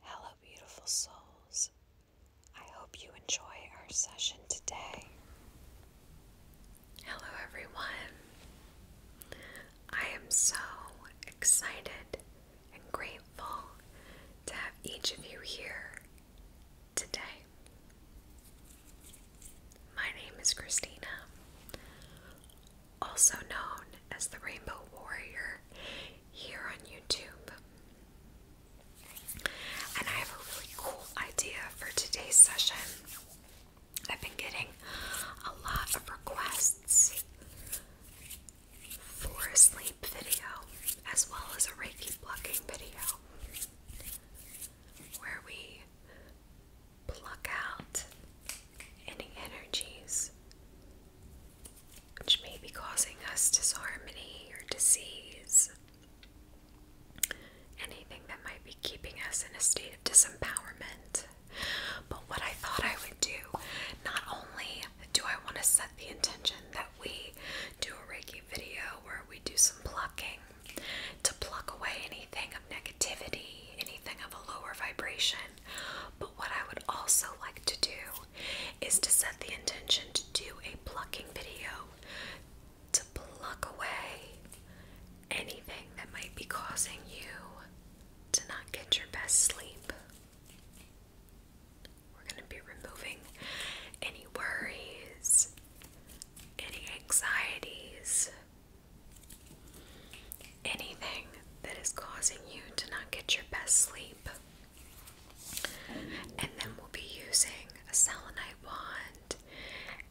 Hello, beautiful souls. I hope you enjoy our session today. Hello, everyone. I am so excited and grateful to have each of you here today. My name is Christina, also known as the Rainbow Warrior here on YouTube. And I have a really cool idea for today's session. I've been getting a lot of requests for a sleep video as well as a Reiki plucking video where we pluck out any energies which may be causing us disharmony or disease, anything that might be keeping us in a state of disempowerment. But what I thought I would do, not only do I want to set the intention that we do a Reiki video where we do some plucking to pluck away anything of negativity, anything of a lower vibration, but what I would also like to do is to set the intention to do a plucking video to pluck away anything that might be causing you to not get your best sleep. We're going to be removing any worries, any anxieties, anything that is causing you to not get your best sleep. And then we'll be using a selenite wand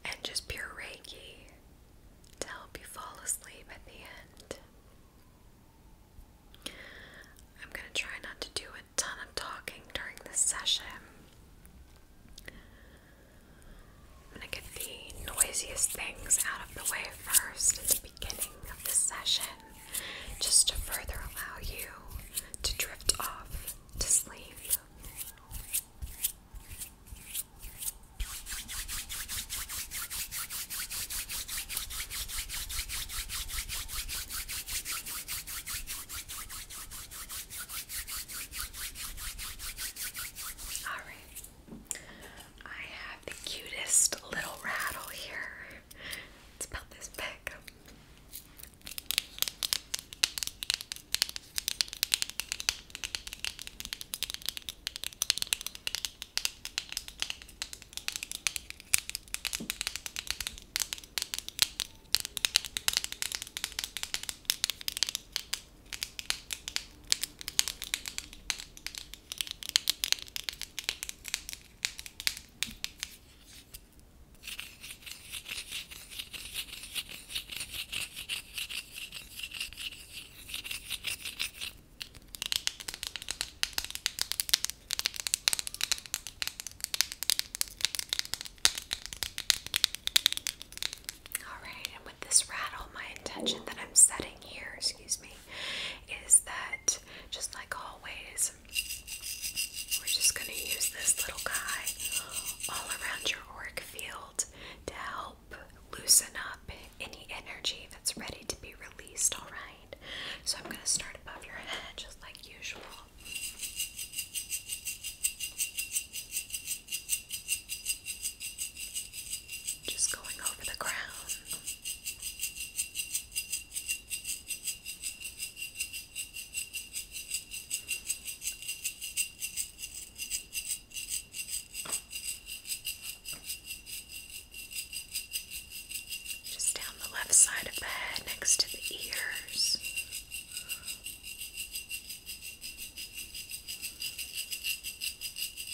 and just pure Reiki to help you fall asleep at the end. I'm going to try not to do a ton of talking during this session. I'm going to get the noisiest things out of the way first at the beginning of the session just to further allow you to drift off to sleep. All right. I have the cutest little rattle here. It's about this big. All right, and with this rattle, my intention that I'm setting here excuse me, is that just like always, we're just going to use this little guy all around your auric field to help loosen up any energy that's ready to be released, alright? So I'm going to start above your head just like usual. Just going over the ground. Just down the left side of the head next to the ears.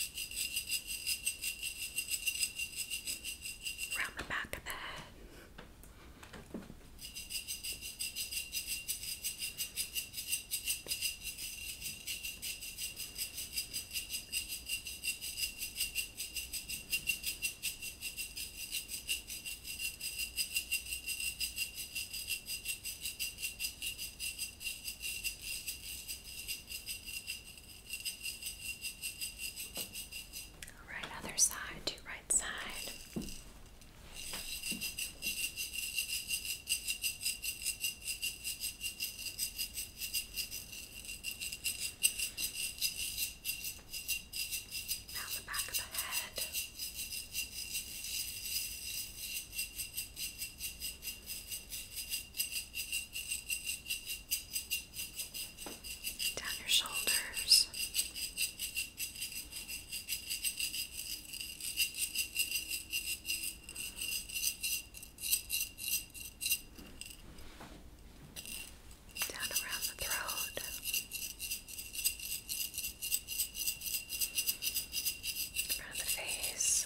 Round the back of the head. Down Right other side to right side. Now the back of the head down your shoulders. Down around the throat, around the face,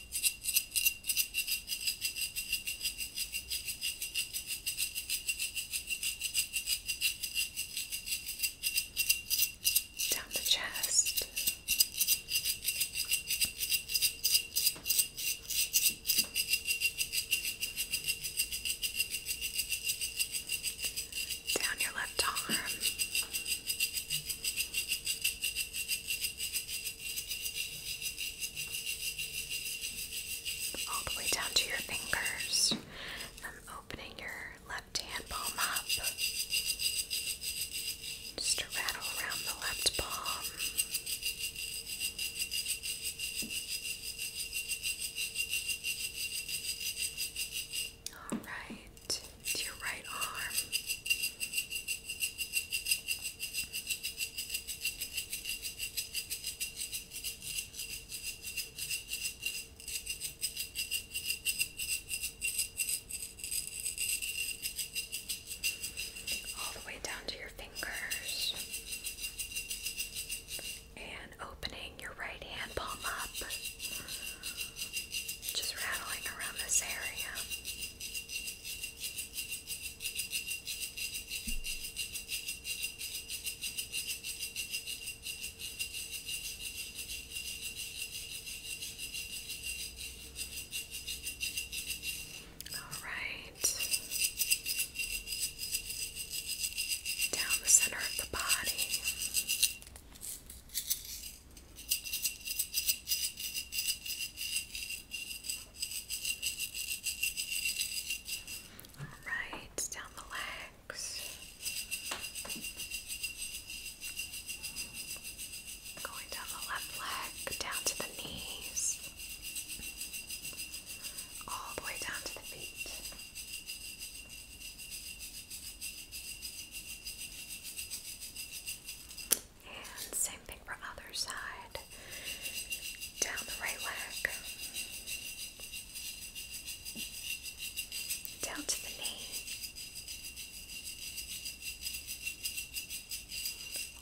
down the chest. Down your left arm, all the way down to your fingers. I'm opening your left palm up just to rattle around the left palm. All right to your right arm. All the way down to your fingers. And opening your right hand palm up. Just rattling around this area. All right. Down the center of the body. All right, down the legs. Going down the left leg, down to the knees, all the way down to the feet. And same thing for other side. Down the right leg. Down to the knee.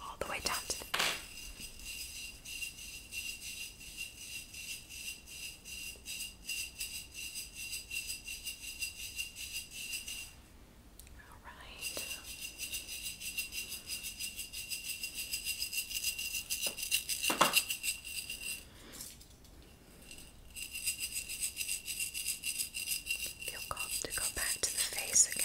All the way down to the knee. All right. Feel called to go back to the face again.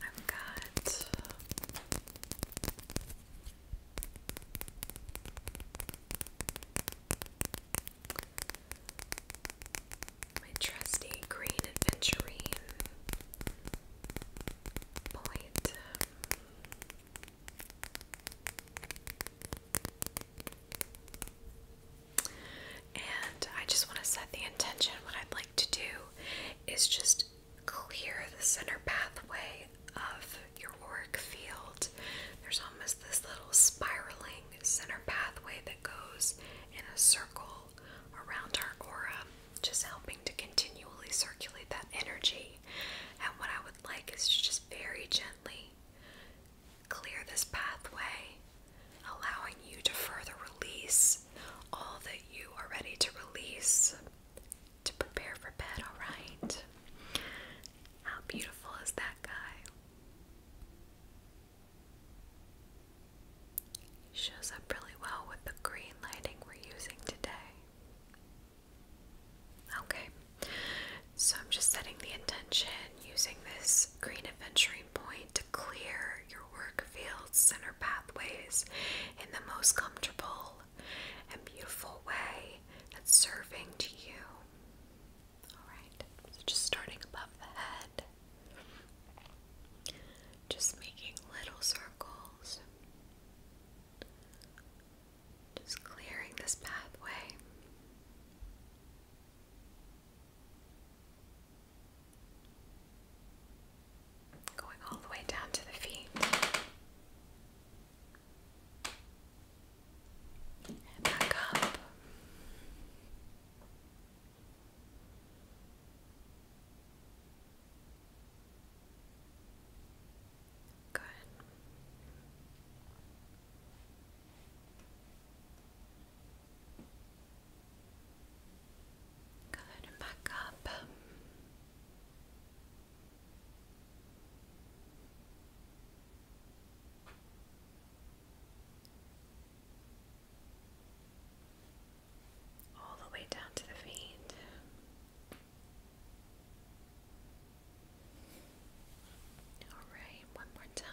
I've got my trusty green adventurine point. And I just want to set the intention. What I'd like to do is just clear the center pathway of your auric field. There's almost this little spiraling center pathway that goes in a circle around our aura, just helping to continually circulate that energy. And what I would like is to just very gently clear this pathway allowing you to further release all that you are ready to release to prepare for bed, alright? How beautiful is that guy? Shows up really well with the green lighting we're using today. Okay, so I'm just setting the intention using this green adventuring point to clear your work fields and your pathways in the most comfortable and beautiful way that's serving to you. Alright, so just starting above the head, just making little circles, just clearing this pathway. Going all the way down to the feet. And back up. Good. Go ahead back up. All the way down to the feet. All right, one more time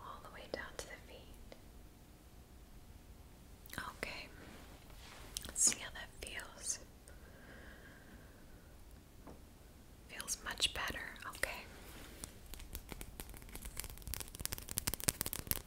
all the way down to the feet. Okay, let's see how that feels. Feels much better. Okay.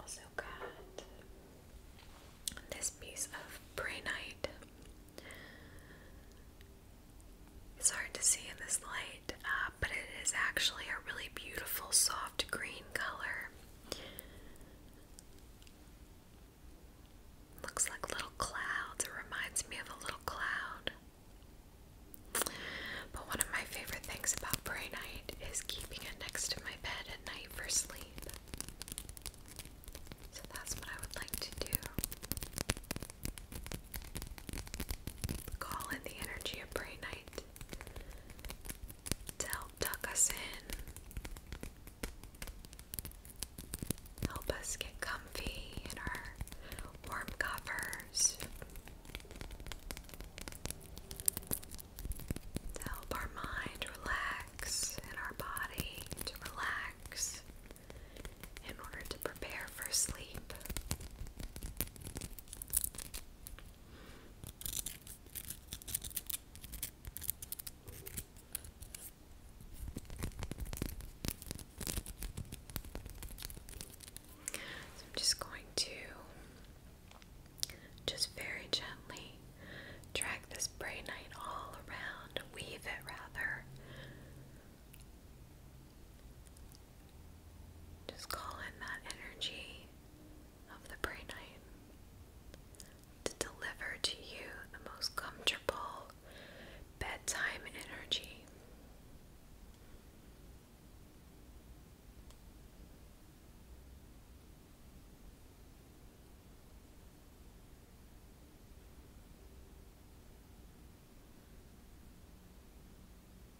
Also got this piece of brainite. It's hard to see in this light. Uh, but it is actually a really beautiful soft green color. Looks like little clouds. It reminds me of a little cloud. But one of my favorite things about Prey Night is keeping it next to my bed at night for sleep. So that's what I would like to do. Call in the energy of Prey Night to help tuck us in, help us get comfy in our warm covers, to help our mind relax and our body to relax in order to prepare for sleep. I'm just going to just very gently drag this braid night all around, weave it rather. Just call in that energy of the prey night to deliver to you the most comfortable bedtime energy.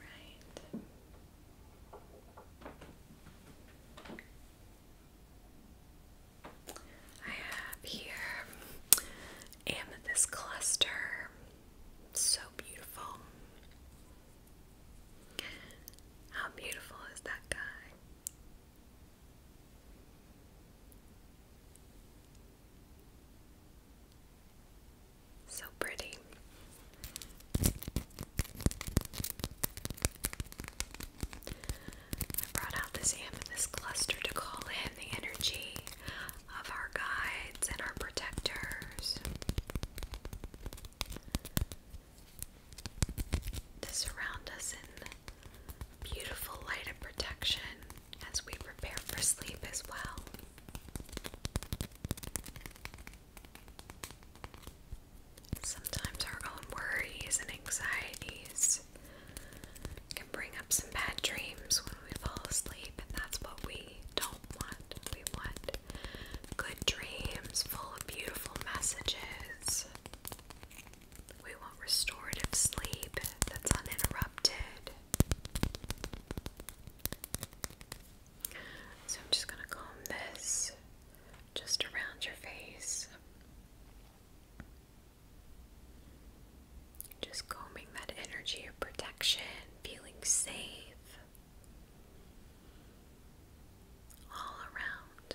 Right. I have here amethyst cluster. So beautiful. How beautiful is that guy? So pretty. I brought out this amethyst cluster to call in the energy of our guides and our protectors. To surround us in Beautiful light of protection as we prepare for sleep as well. Sometimes our own worries and anxieties can bring up some bad dreams when we fall asleep, and that's what we don't want. We want good dreams full of beautiful messages. We want restorative sleep that's uninterrupted. So I'm just going to comb this just around your face. Just combing that energy of protection, feeling safe all around.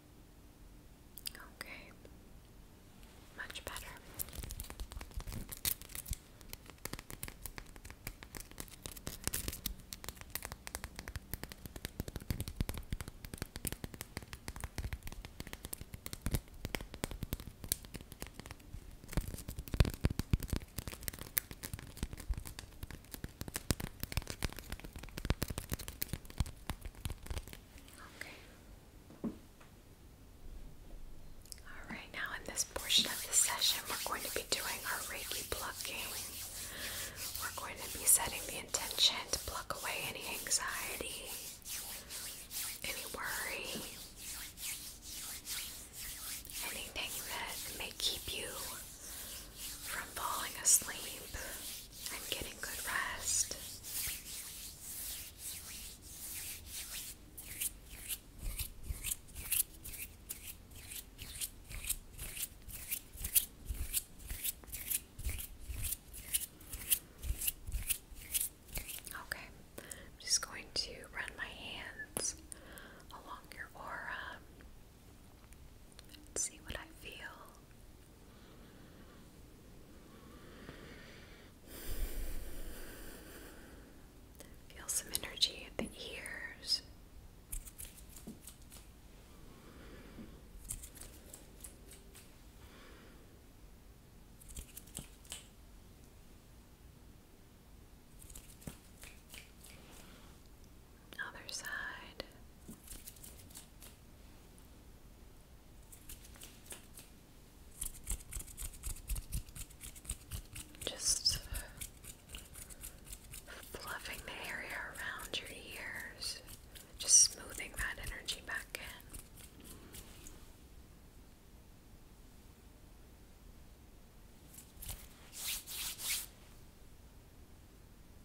Okay, much better. Okay. Alright, now in this portion of the session, we're going to be doing our Reiki plucking. We're going to be setting the intention to block away any anxiety, any worry, anything that may keep you from falling asleep. I'm getting good rest. Okay, I'm just going to run my hands along your aura and see what I feel. Feel some energy at the ears. Other side. Just fluffing the area around your ears, just smoothing that energy back in.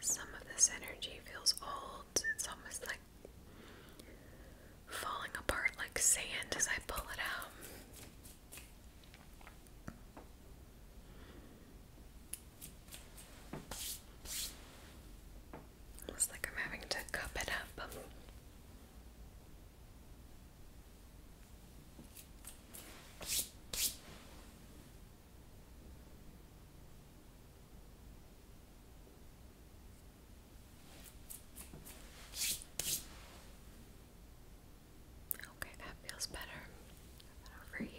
Some of this energy feels old. It's almost like falling apart like sand as I pull it out. Almost like I'm having to cup it up. Okay, that feels better. over here.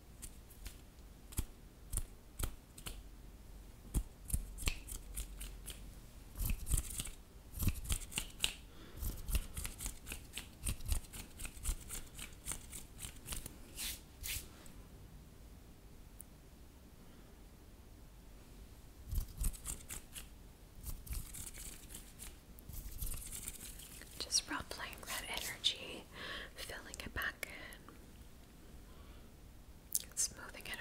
Just rub playing that energy filling it back in smoothing it over.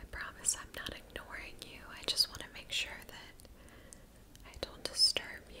I promise I'm not ignoring you. I just want to make sure that I don't disturb you.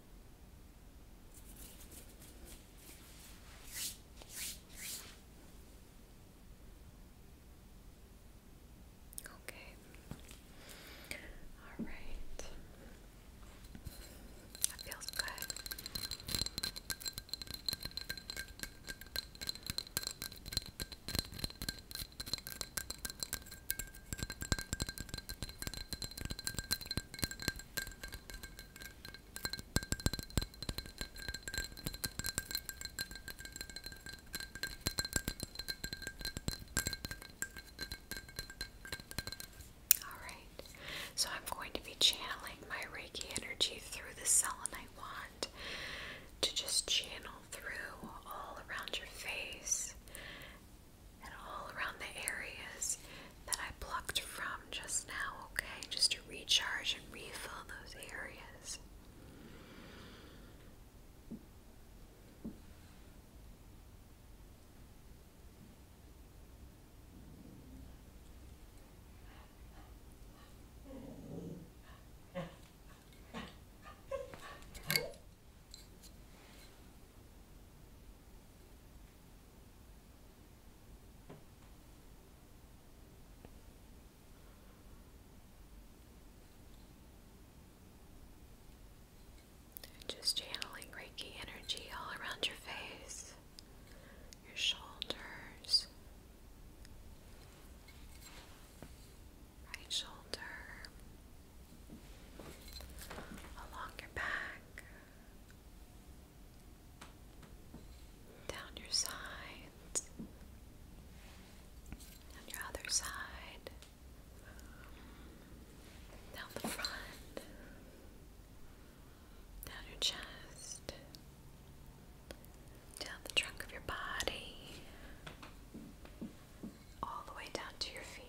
Okay. All right. That feels good. Alright, so I'm going to be channeling my Reiki energy through the selenite wand to just channel through all around your face and all around the areas that I plucked from just now, okay? Just to recharge and refill those areas. Just channeling Reiki energy all around your face, your shoulders, right shoulder, along your back, down your sides, down your other side, down the front, down your chest, down the trunk of your body, all the way down to your feet.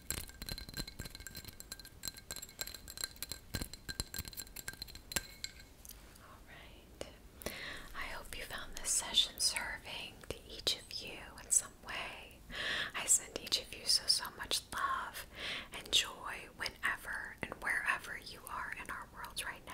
Alright. I hope you found this session serving to each of you in some way. I send each of you so, so much love and joy whenever and wherever you are in our world right now.